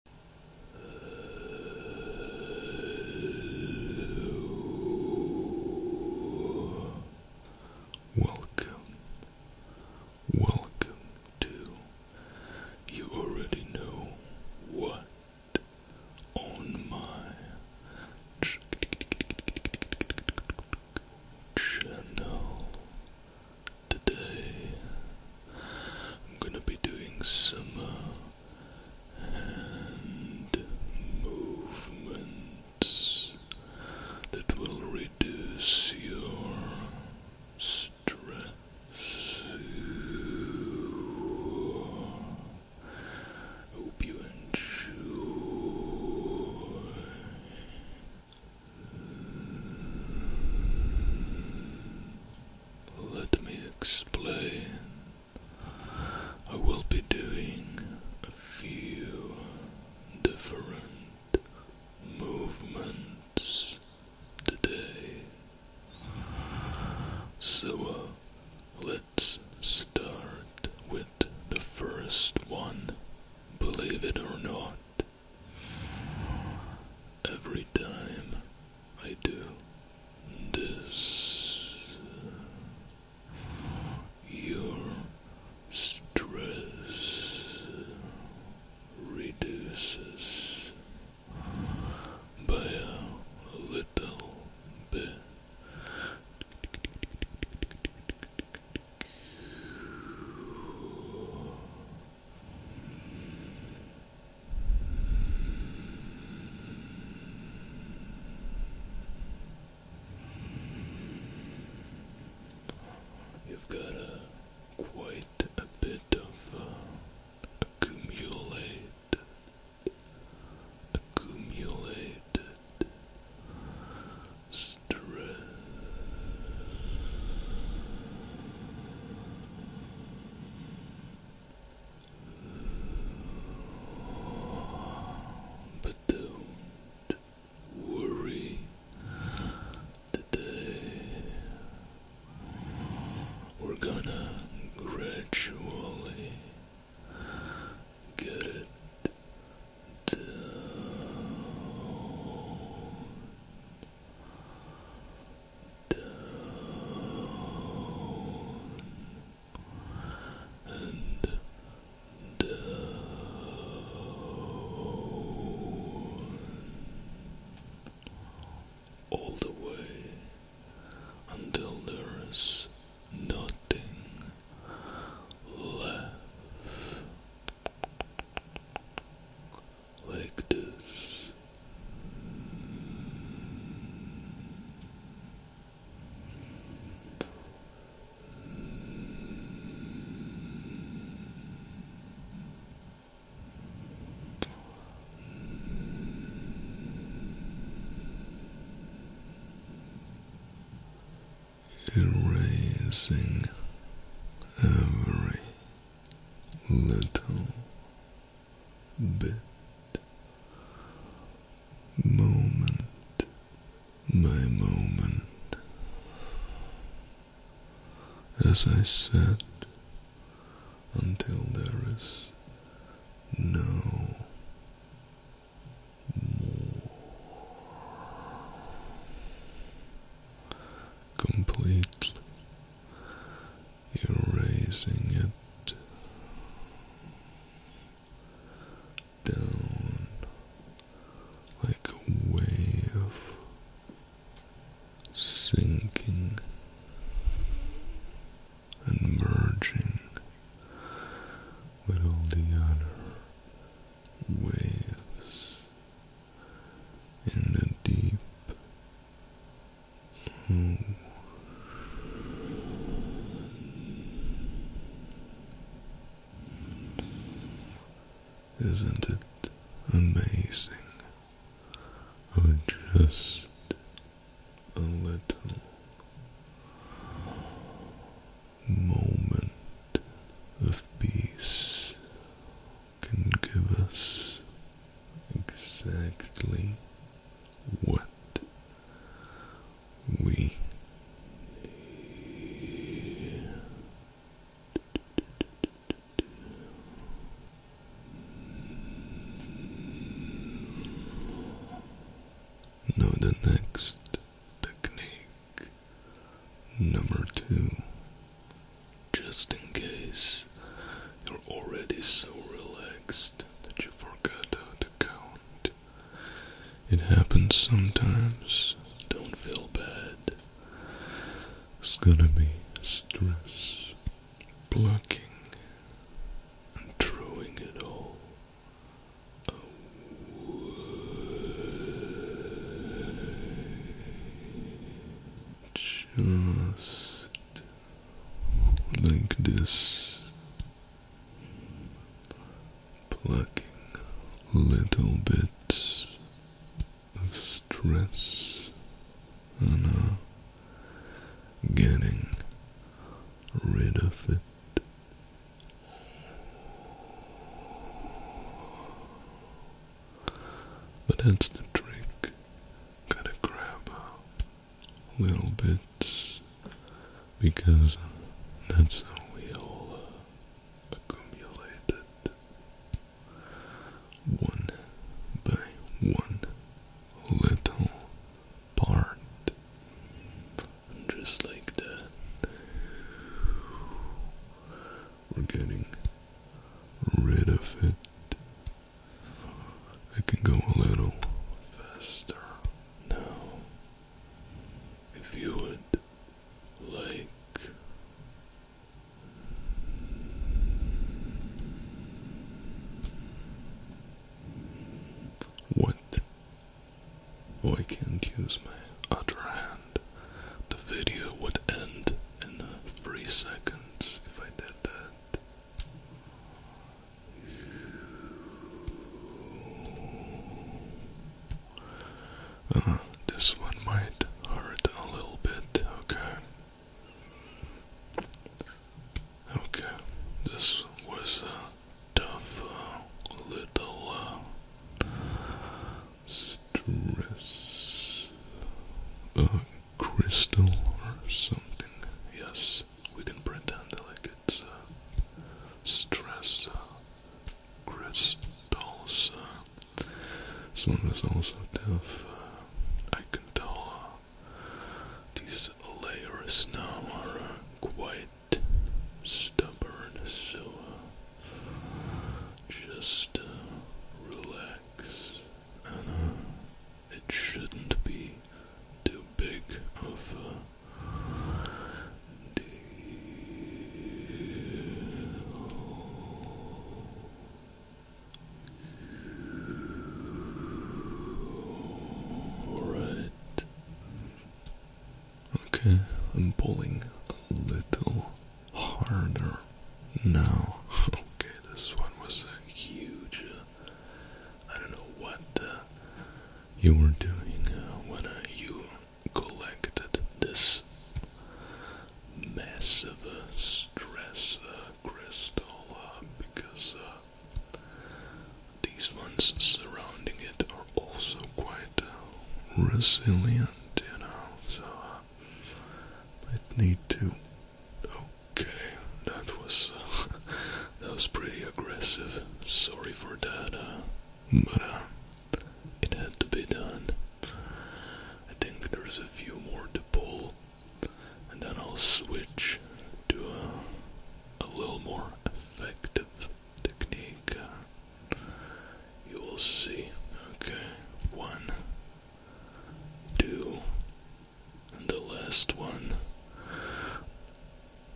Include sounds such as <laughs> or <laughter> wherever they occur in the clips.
Welcome, welcome to You Already Know What on my channel today I'm gonna be doing some uh, hand movements that will reduce your stress. Hope you enjoy. Let me explain. I will be doing a few different movements today. So uh, let's start with the first one. Believe it or not, Every time I do this, your stress reduces by a little bit. You've got a quite a bit of uh, accumulate, stress. But don't worry today. We're gonna gradually get it down down and down all the way until there is nothing left like this. Erasing every little bit, moment by moment, as I said, until there is no. More completely, erasing it down like a wave sinking and merging with all the other waves in the deep Isn't it amazing how just a little moment of peace can give us exactly what we need. Now, the next technique, number two, just in case you're already so relaxed that you forgot how to count. It happens sometimes, don't feel bad. It's gonna be stress, blocking, and throwing it all. Away just like this, plucking little bits of stress and uh, getting rid of it. But that's the trick. Gotta grab little bit because that's how we all uh, one by one little part. Just like that. We're getting rid of it. I can go a little faster now. If you would like. What? Why can't use my other hand? the video would end in three seconds if I did that. Uh, this one might hurt a little bit, okay? Okay, this was a tough uh, little uh, stress. A crystal or something. Yes, we can pretend like it's uh, stress uh, crystals. this one is also tough. Uh, I can tell uh, these layers now are uh, quite stubborn, so just uh, relax, it shouldn't be too big of a deal. All right. Okay, I'm pulling a little harder now. <laughs> Okay, this one was a huge. Uh, I don't know what uh, you were doing uh, when uh, you collected this massive uh, stress uh, crystal uh, because these ones surrounding it are also quite resilient, you know, so uh, I need to. Okay, that was uh, <laughs> that was pretty aggressive. Sorry for that, uh, but it had to be done. I think there's a few more to pull, and then I'll switch to a, a little more effective technique. You will see. Okay, one, two, the last one.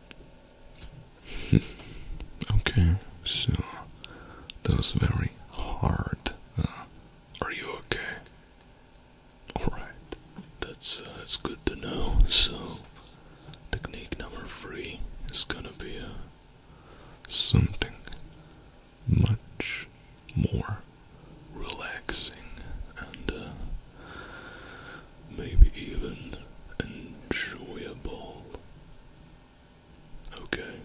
<laughs> okay, so that was very hard. Uh, are you okay? Alright, that's, uh, that's good to know. So, technique number three is gonna be uh, something much more relaxing and uh, maybe even enjoyable. Okay,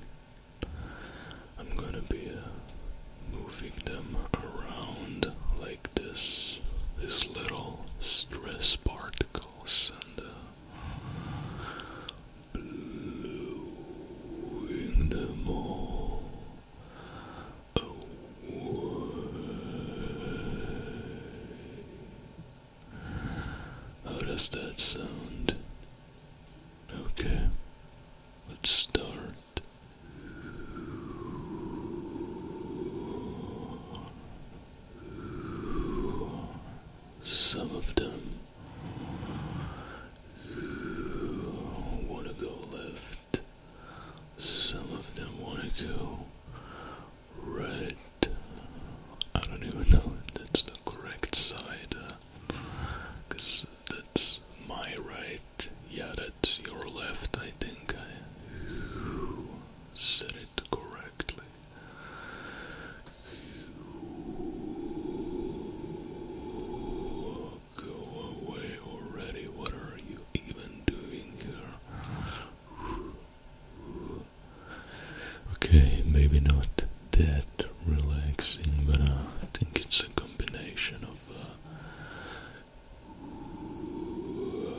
I'm gonna be uh, moving them around like this, these little stress particles, and uh, blowing them oh, all away. How does that sound? Okay, let's start some of them want to go left, some of them want to go right. I don't even know if that's the correct side, because uh, that's my right. Yeah, that's your left, I think it correctly. Go away already. What are you even doing here? Okay, maybe not that relaxing, but I think it's a combination of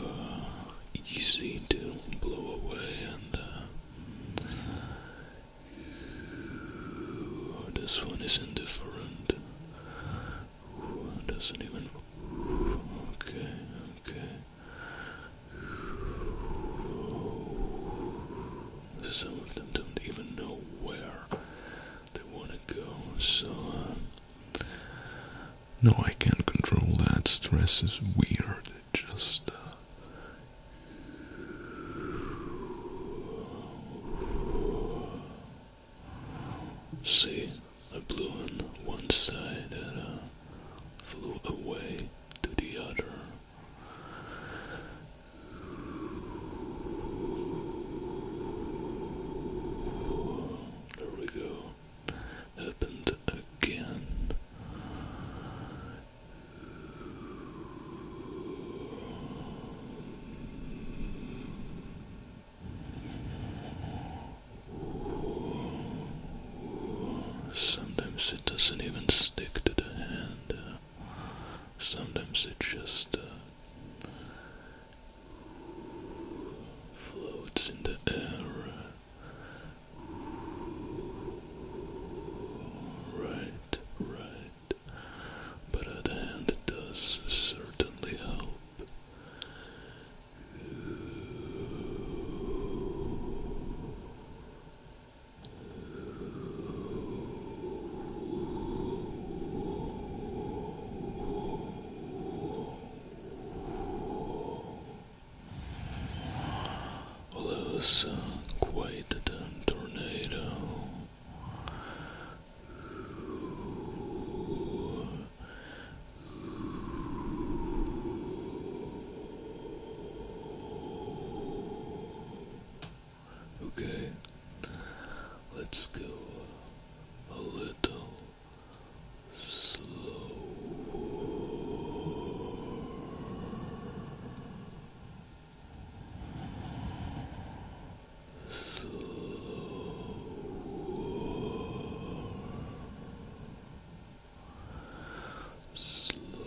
uh, easy to blow away and uh, this one is indifferent. doesn't even. okay, okay. some of them don't even know where they want to go, so. Uh, no, I can't control that. Stress is weird just uh, see I blew on one side and uh, flew away to the other. There we go happened again. Sometimes it doesn't even stick to the hand. sometimes it just uh, floats in the air. Right, right. But at the hand it does certainly help. Well, quite the tornado. Okay, let's go a little Slow. Slower. Slower. Slower.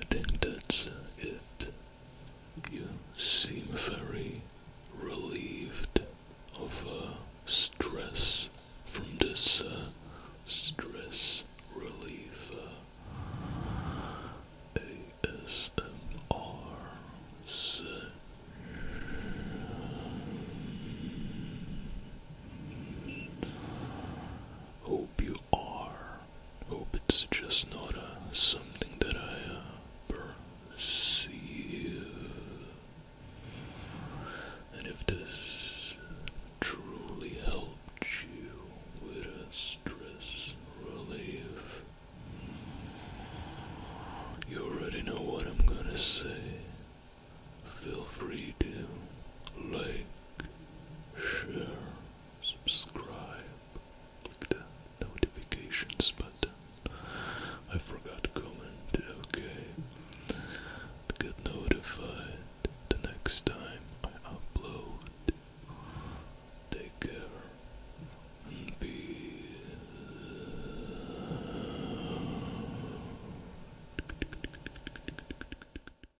I think that's it. You seem very relieved of uh, stress from this uh, stress relief uh, ASMR Hope you are hope it's just not uh, something that I uh, And if this truly helped you with stress relief, you already know what I'm gonna say. Feel free to like, share, subscribe, click the notifications button. I forgot comment, okay. Get notified the next time I upload. Take care and be